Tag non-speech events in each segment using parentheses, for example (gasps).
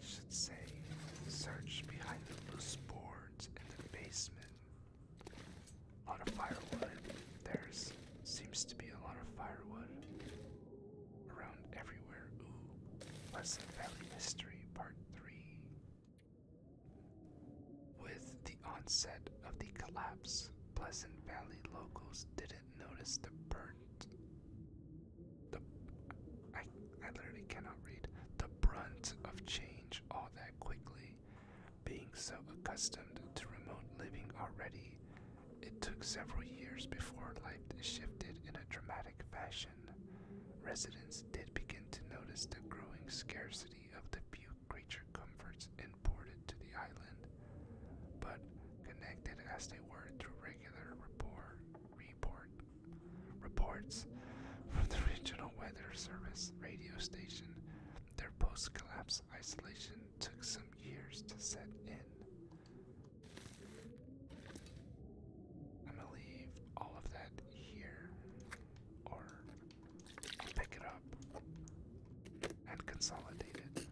It should say, search behind the loose boards in the basement. lot of firewood. There seems to be a lot of firewood around everywhere. Ooh, Pleasant Valley History Part 3. With the onset of the collapse, Pleasant Valley locals didn't notice the burnt. The I I literally cannot read the brunt of change all that quickly. Being so accustomed to remote living already, it took several years before life shifted in a dramatic fashion. Residents did begin to notice the growing scarcity of the few creature comforts imported to the island, but connected as they were to regular report, reports from the (laughs) regional weather service radio station. Their post-collapse isolation took some years to set in. I'm gonna leave all of that here, or pick it up and consolidated.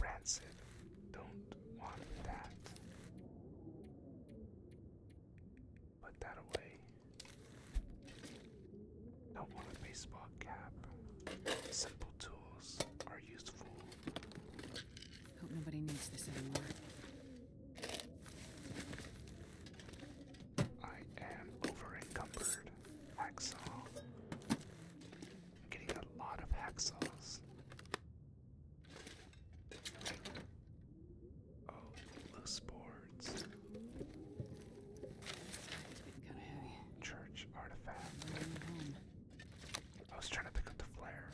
Rancid, don't want that. Put that away. Don't want baseball cap. Simple tools are useful. Hope nobody needs this anymore. I am over encumbered. getting a lot of hacksaws. Oh, loose boards. Church artifact. I was trying to pick up the flare.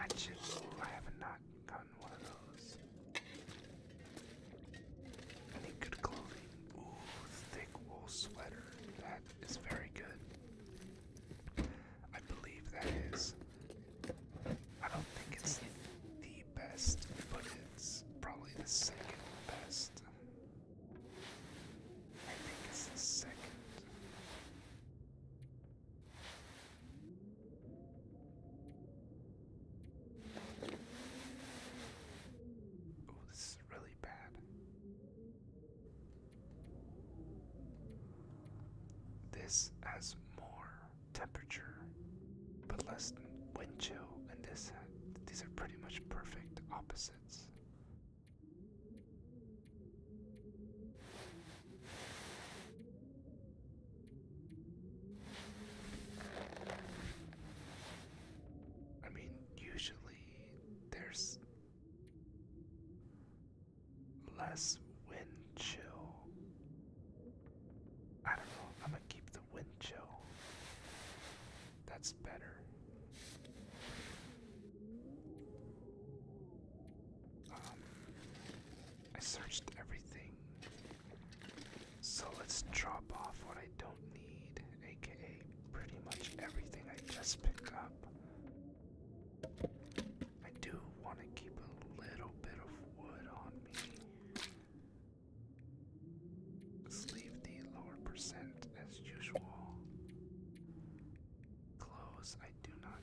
I just, I have not gotten one of those. I good clothing. Ooh, thick wool sweater. That is very good. I believe that is. I don't think it's the best, but it's probably the second best. I think it's the second. Oh, this is really bad. This has more temperature, but less wind chill, and this these are pretty much perfect opposites. I mean, usually there's less wind chill. I don't know, I'm gonna keep the wind chill. That's better. Um, I searched everything. So let's drop off what I don't need, aka pretty much everything I just pick up. I do want to keep a little bit of wood on me. Let's leave the lower percent as usual. Clothes I do not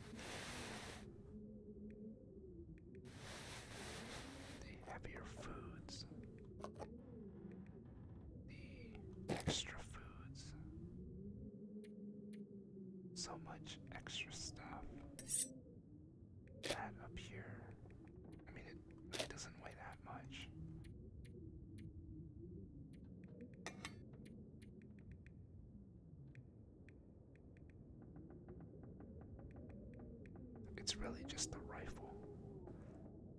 The heavier foods. The extra foods. So much extra stuff. That up here. I mean, it doesn't that It's really just the rifle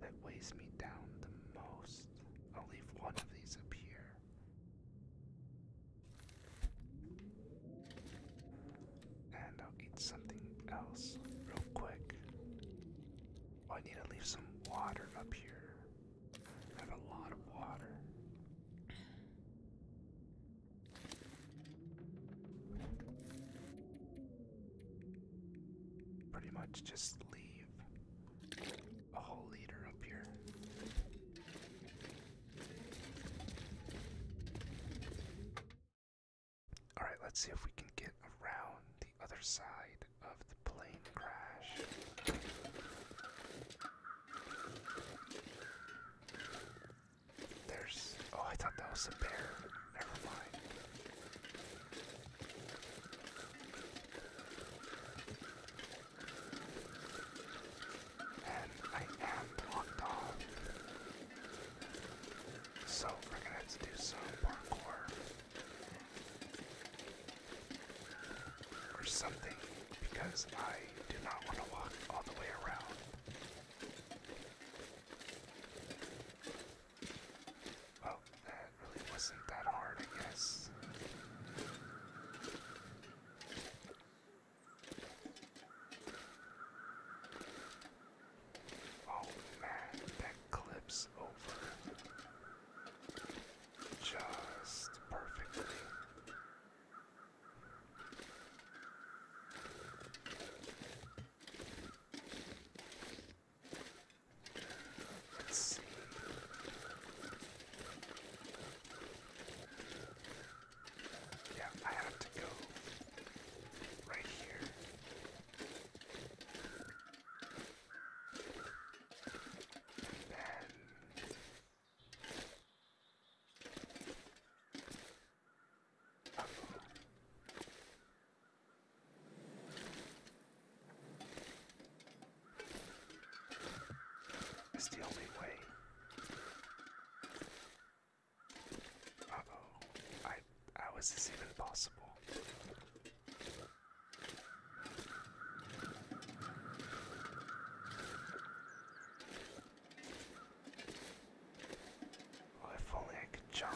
that weighs me down the most. I'll leave one of these up here. And I'll eat something else real quick. Oh, I need to leave some water up here. I have a lot of water. Pretty much just leave a whole liter up here. Alright, let's see if we can get around the other side of the plane crash. There's. Oh, I thought that was a bear. Never mind. And I am blocked off. So we're gonna have to do some parkour or something because I do not want to walk all the way around. Well, that really wasn't that hard, I guess. Oh man, that clips over just perfectly. Let's see. Yeah, I have to go right here. It's the only way. Uh oh, I how is this even possible? if only I could jump.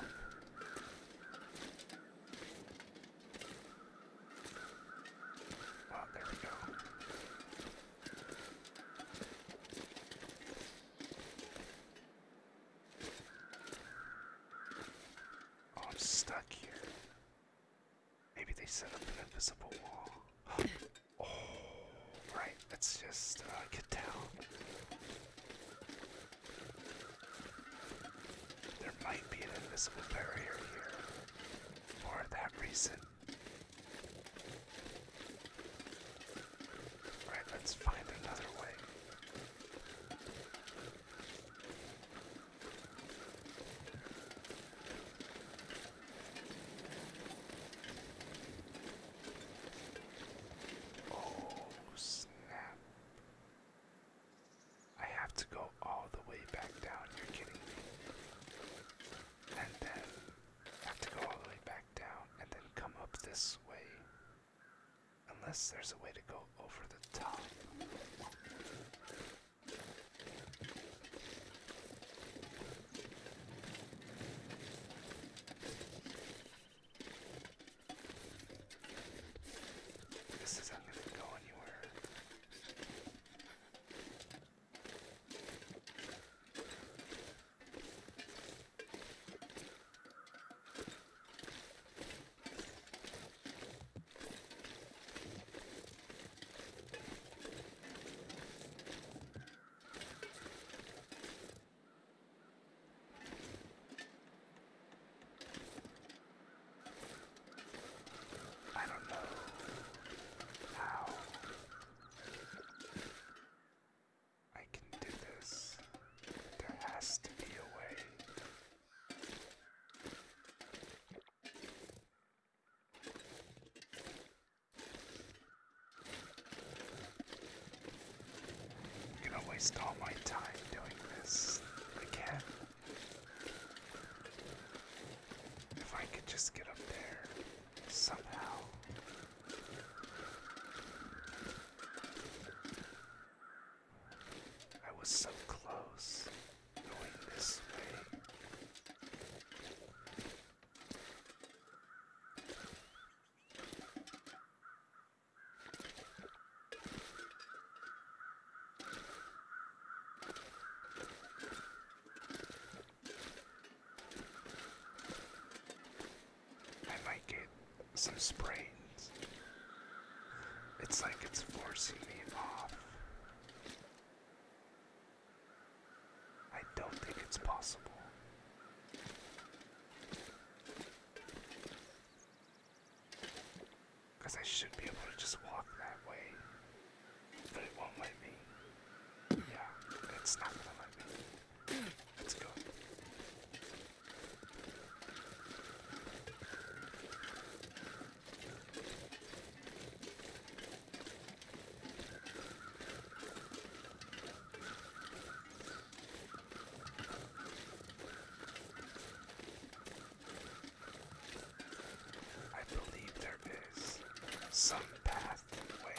Well, there we go. Oh, I'm stuck here. Maybe they set up an invisible wall. (gasps) Oh, right. Let's just get uh, down. There might be an invisible barrier here for that reason. Alright, let's find another way. Oh, snap. I have to go all the way back down. You're kidding me. And then I have to go all the way back down and then come up this way. Unless there's a way to go over the top. This isn't going to go anywhere. I don't know how I can do this. There has to be a way I'm gonna waste all my time doing this again. If I could just get up there somehow. I was so close going this way. I like it some sprains. It's like it's forcing me off. I don't think it's possible. Because I should be able to just walk that way. But it won't let me. Yeah, it's not gonna let me. Let's go. I believe there is some pathway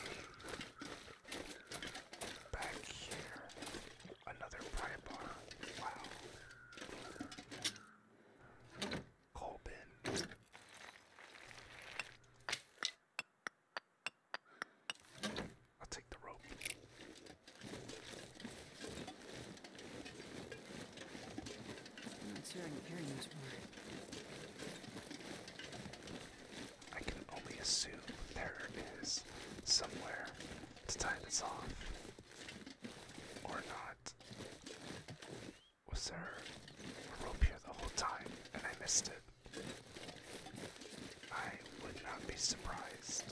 back here. Another private bar. Wow. Colbin. I'll take the rope. I'm not sure I can carry much more. I can only assume there is somewhere to tie this off. Or not. Was there a rope here the whole time and I missed it? I would not be surprised.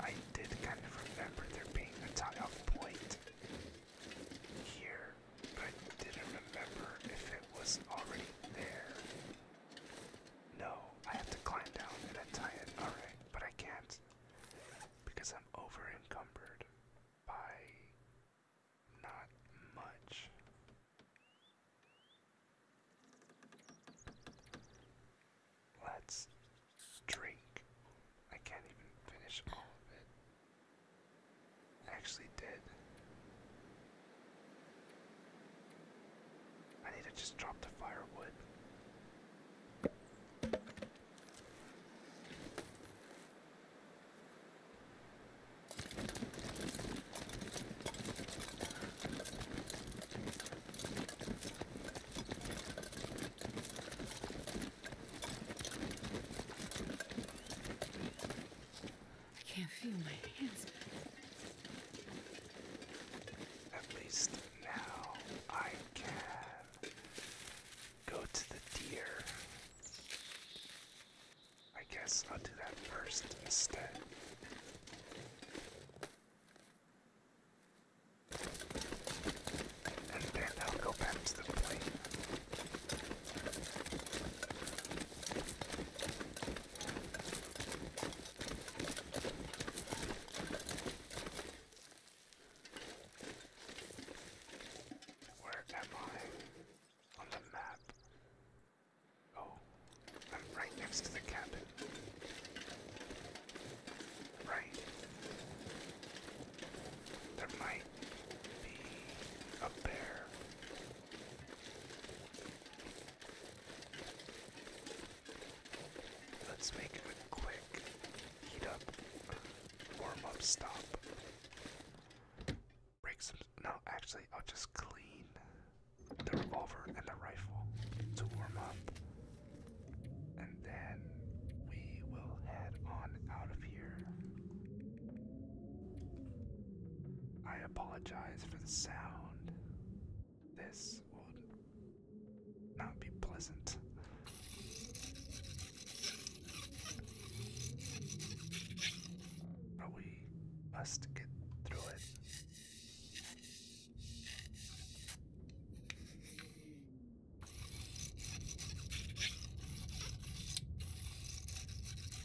I did kind of remember there being a tie off point here but I didn't remember if it was already there. No, I have to climb down and untie it. Alright, but I can't because I'm over by not much. Let's drink. I can't even finish all of it actually did. I need to just drop the firewood. I can't feel my hands. At least now I can go to the deer. I guess I'll do that first instead. And then I'll go back to the plane. Where am I on the map? Oh, I'm right next to the cabin. Right. There might be a bear. Let's make a quick heat up, warm up stop. Break some. No, actually, I'll just clean the revolver and the rifle to warm up. And then we will head on out of here. I apologize for the sound. This will not be pleasant. But we must get through it.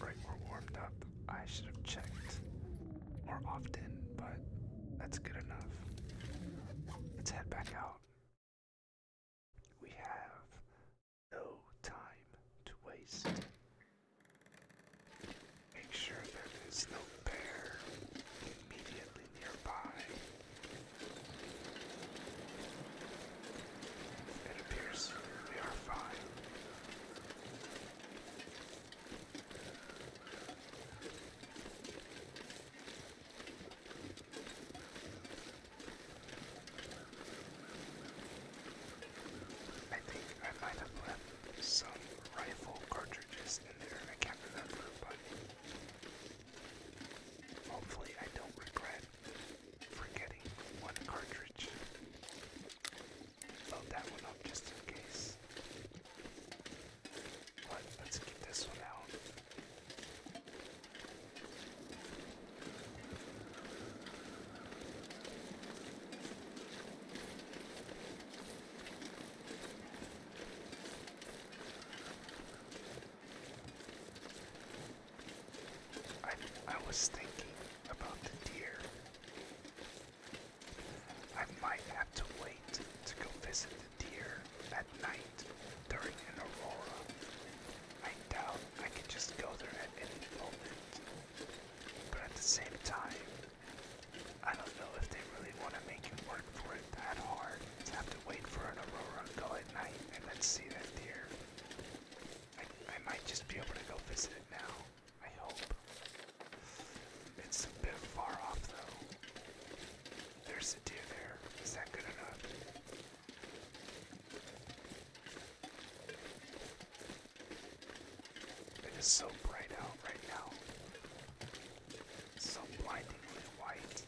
Right, we're warmed up. I should have checked more often, but that's good enough. Let's head back out. We have no time to waste. Make sure there is no bear immediately nearby. It appears we are fine. I think I might have left some rifle cartridges in there. I can't remember, but hopefully I don't regret forgetting one cartridge load that one up just in case. let's get this one out. I I was thinking about the deer I might have to wait to go visit the deer at night during an aurora. I doubt I can just go there at any moment. But at the same time, I don't know if they really want to make you work for it that hard to have to wait for an aurora, to go at night, and then see the deer. I might just be able to go visit it now. I hope. It's a bit far off though. There's a deer there. Is that good enough? It is so bright out right now. So blindingly white.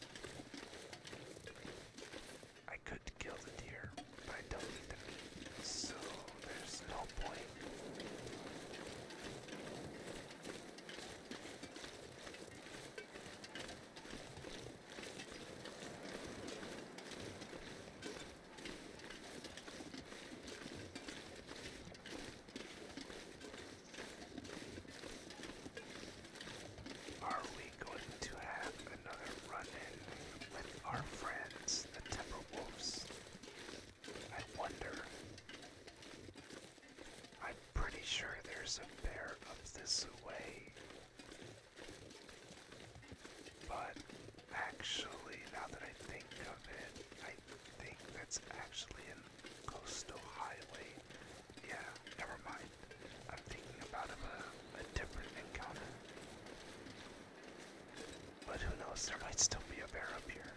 I could kill the deer. I don't need the meat, so there's no point. Are we going to have another run in with our friends, the Timberwolves? I wonder. I'm pretty sure there's a bear up this way. But actually, now that I think of it, I think that's actually in Coastal Highway. Yeah, never mind. I'm thinking about a, different encounter. But who knows, there might still be a bear up here.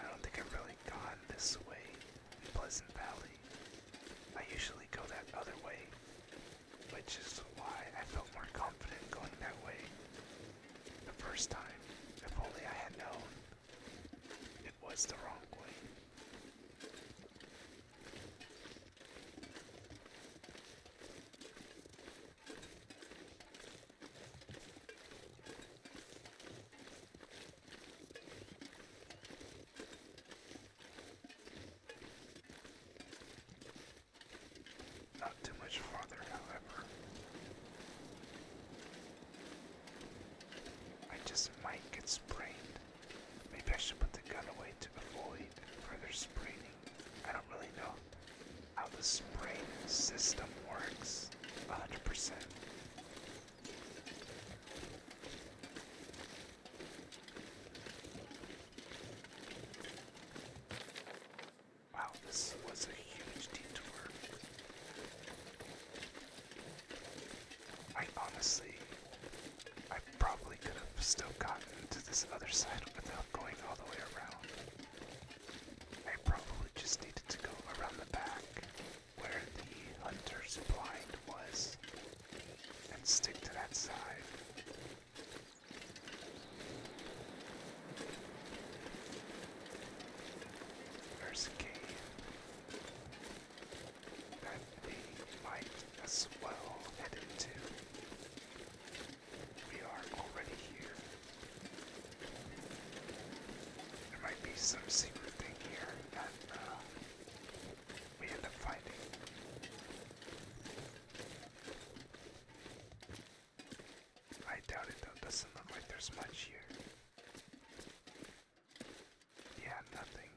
I don't think I've really gone this way in Pleasant Valley. I usually go that other way, which is why I felt more confident going that way the first time. If only I had known it was the wrong way. Not too much farther, however. I just might get sprained. Maybe I should put the gun away to avoid further sprain I don't really know how the spray system works 100%. Wow, this was a huge detour. I honestly, I probably could have still gotten to this other side without going all the way around. I probably just needed to go around the back where the hunter's blind was and stick to that side. There's a cave that we might as well head into. We are already here. There might be some secret thing here that uh, we end up finding. I doubt it though, doesn't look like there's much here. Yeah, nothing.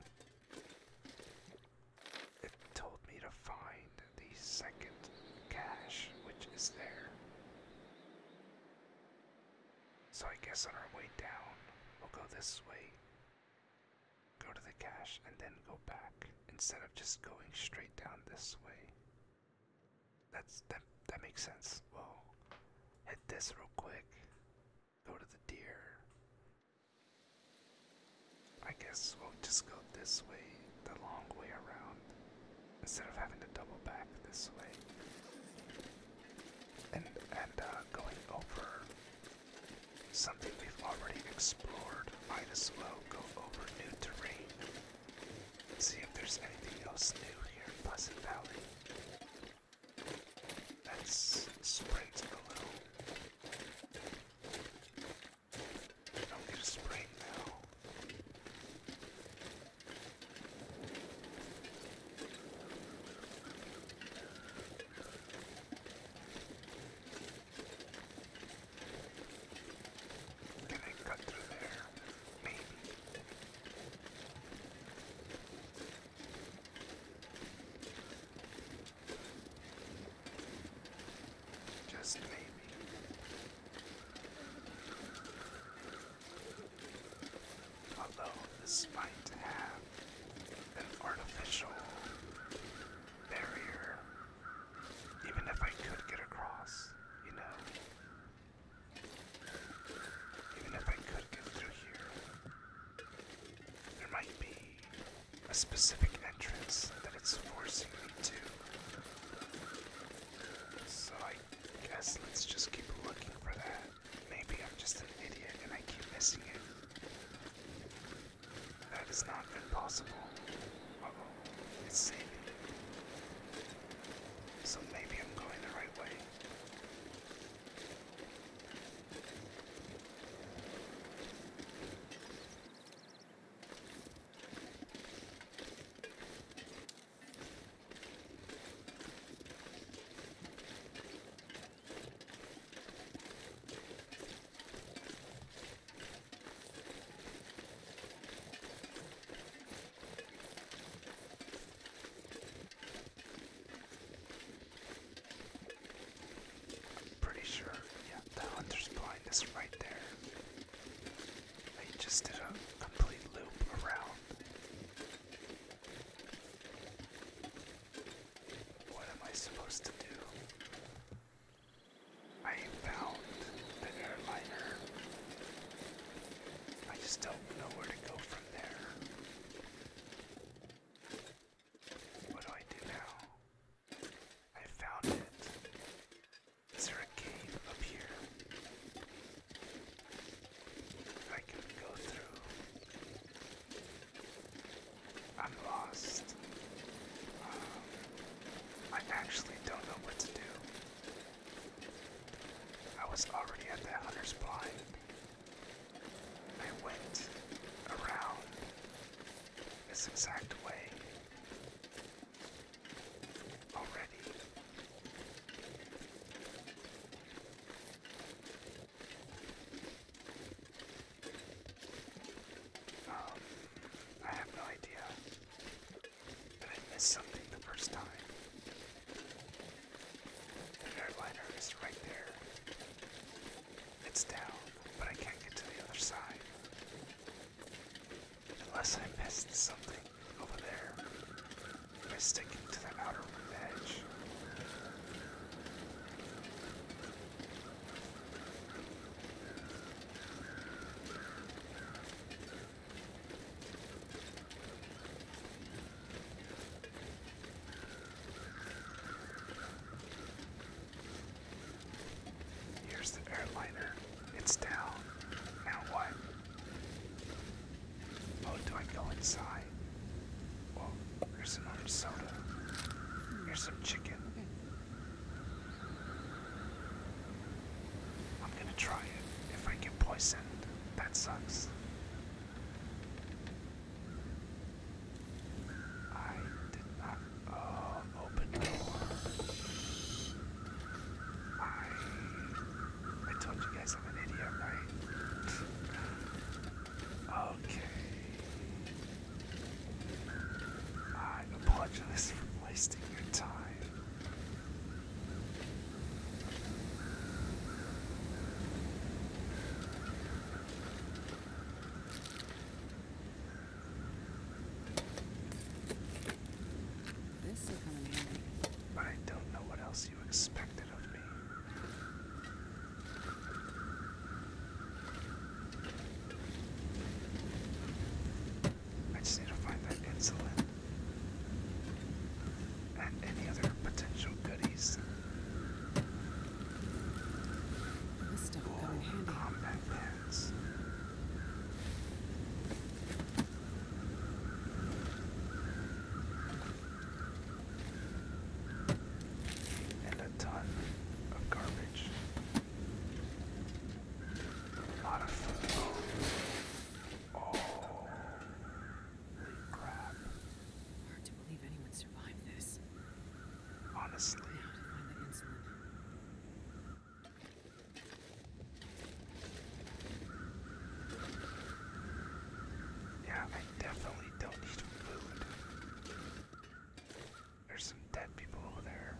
It told me to find the second cache, which is there. So I guess on our way down, we'll go this way, go to the cache, and then go back instead of just going straight down this way. That's that. That makes sense. Well, hit this real quick. Go to the deer. I guess we'll just go this way, the long way around, instead of having to double back this way. And and uh, going over something we've already explored, might as well go over new terrain. See if there's anything else new here in Pleasant Valley. Let's sprint a little. I'll get a spray now. Can I cut through there? Maybe. Just maybe. Although this might have an artificial barrier, even if I could get across, you know. Even if I could get through here, there might be a specific entrance that it's forcing me to. So I guess let's just keep looking for that. Maybe I'm just an idiot and I keep missing it. That is not impossible. oh, it's saving. So maybe I'm going the right way. Pretty sure, yeah, the hunter's blind is right there. I just did a complete loop around. What am I supposed to do? I found the airliner. I just don't know where to go from there. What do I do now? I found it. Is there a cave up here? I can go through. I'm lost. Um, I actually don't know what to do. I was already at that hunter's blind. I went around this exact way already. Um, I have no idea that I missed something the first time. The airliner is right there. It's down, but I can't get to the other side. Unless I missed something over there by sticking to the outer edge. Here's the airliner. It's down. Now what? Oh, do I go inside? Well, here's an soda. Here's some chicken. I'm gonna try it. If I get poisoned, that sucks. I did not Oh, open door. I, I told you guys I'm an idiot, right? okay. I apologize for wasting your time. This is kind in handy. But I don't know what else you expected of me. I just need to find that insulin and any other potential goodies. This stuff will come handy. Combat pants and a ton of garbage. A lot of food. Oh, holy crap. Hard to believe anyone survived this. Honestly. Now to find the insulin. Yeah, I definitely don't need food. There's some dead people over there.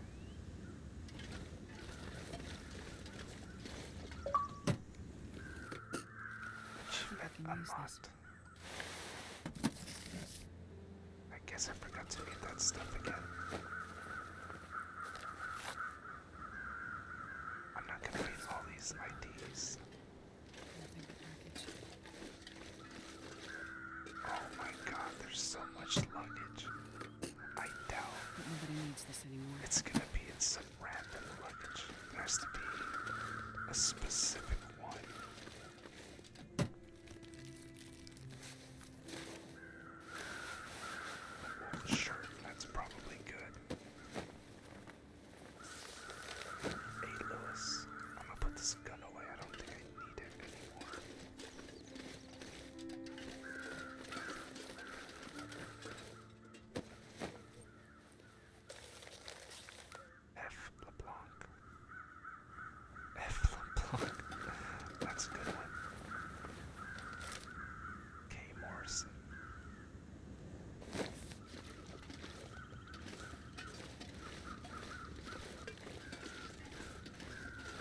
Achievement unlocked. I guess I forgot to get that stuff again. I'm not gonna need all these IDs. Oh my god, there's so much luggage. I doubt nobody needs this anymore. It's gonna be in some random luggage. There has to be a specific one. Sure, that's probably good. Hey, Lewis, I'm gonna put this gun away. I don't think I need it anymore. F. LeBlanc. F LeBlanc. That's a good one. K. Morrison.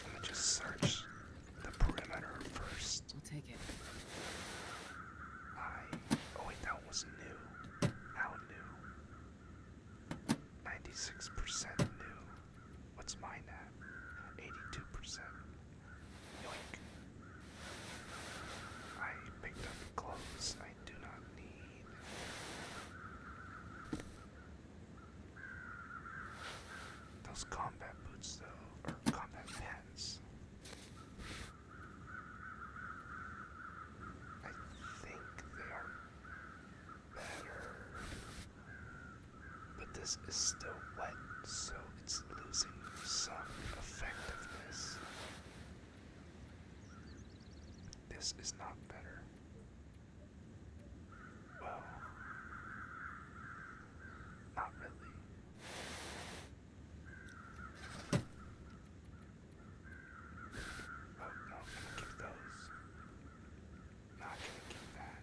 I'm just search the perimeter first. I'll take it. I. Oh, wait, that was new. How new? 96% new. What's mine at? 82%. Yoink. I picked up clothes I do not need. Those combat boots, though, or combat pants. I think they are but this is still wet, so it's losing some effectiveness. This is not better. Well, not really. Oh no, i those not drinking that.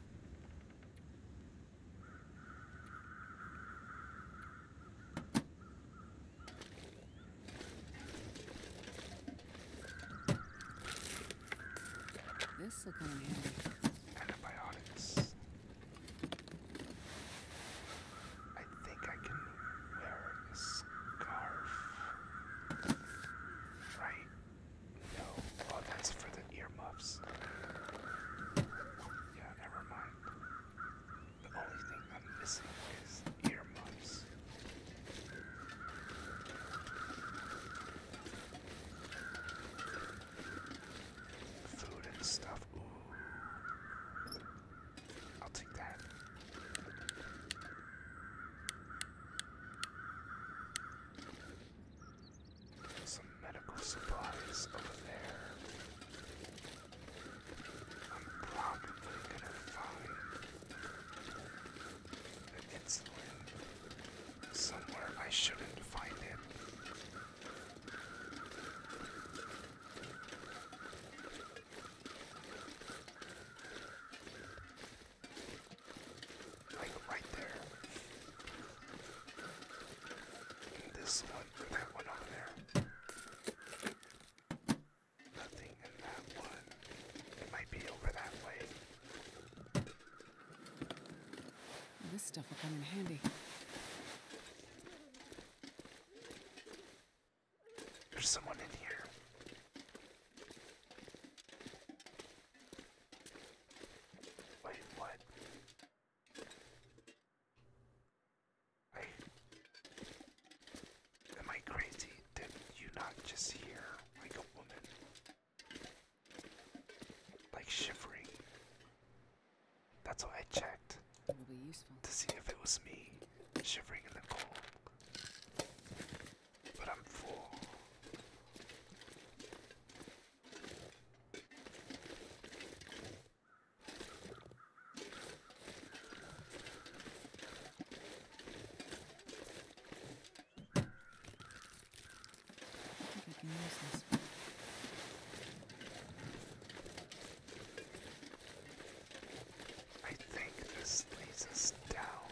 This will come in handy. Antibiotics. I think I can wear a scarf. Right? No. Oh, that's for the earmuffs. Yeah, never mind. The only thing I'm missing is earmuffs. Food and stuff. Ooh. I'll take that. Some medical supplies over there. I'm probably gonna find the insulin somewhere I shouldn't find it. Like right there. And this one, that one over there. Nothing in that one. It might be over that way. This stuff will come in handy. There's someone in here. Wait, what? Am I crazy? Did you not just hear like a woman? Like shivering. That's what I checked. To see if it was me shivering in the cold but I'm full. I think I can use this one. I think this leads us down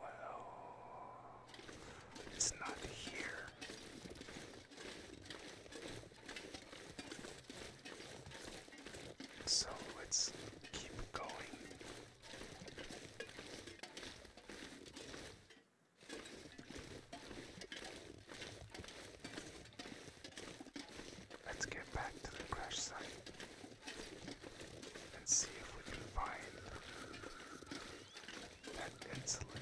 Well, it's not here. So let's keep going. Let's get back to the crash site and see if we can find that insulin.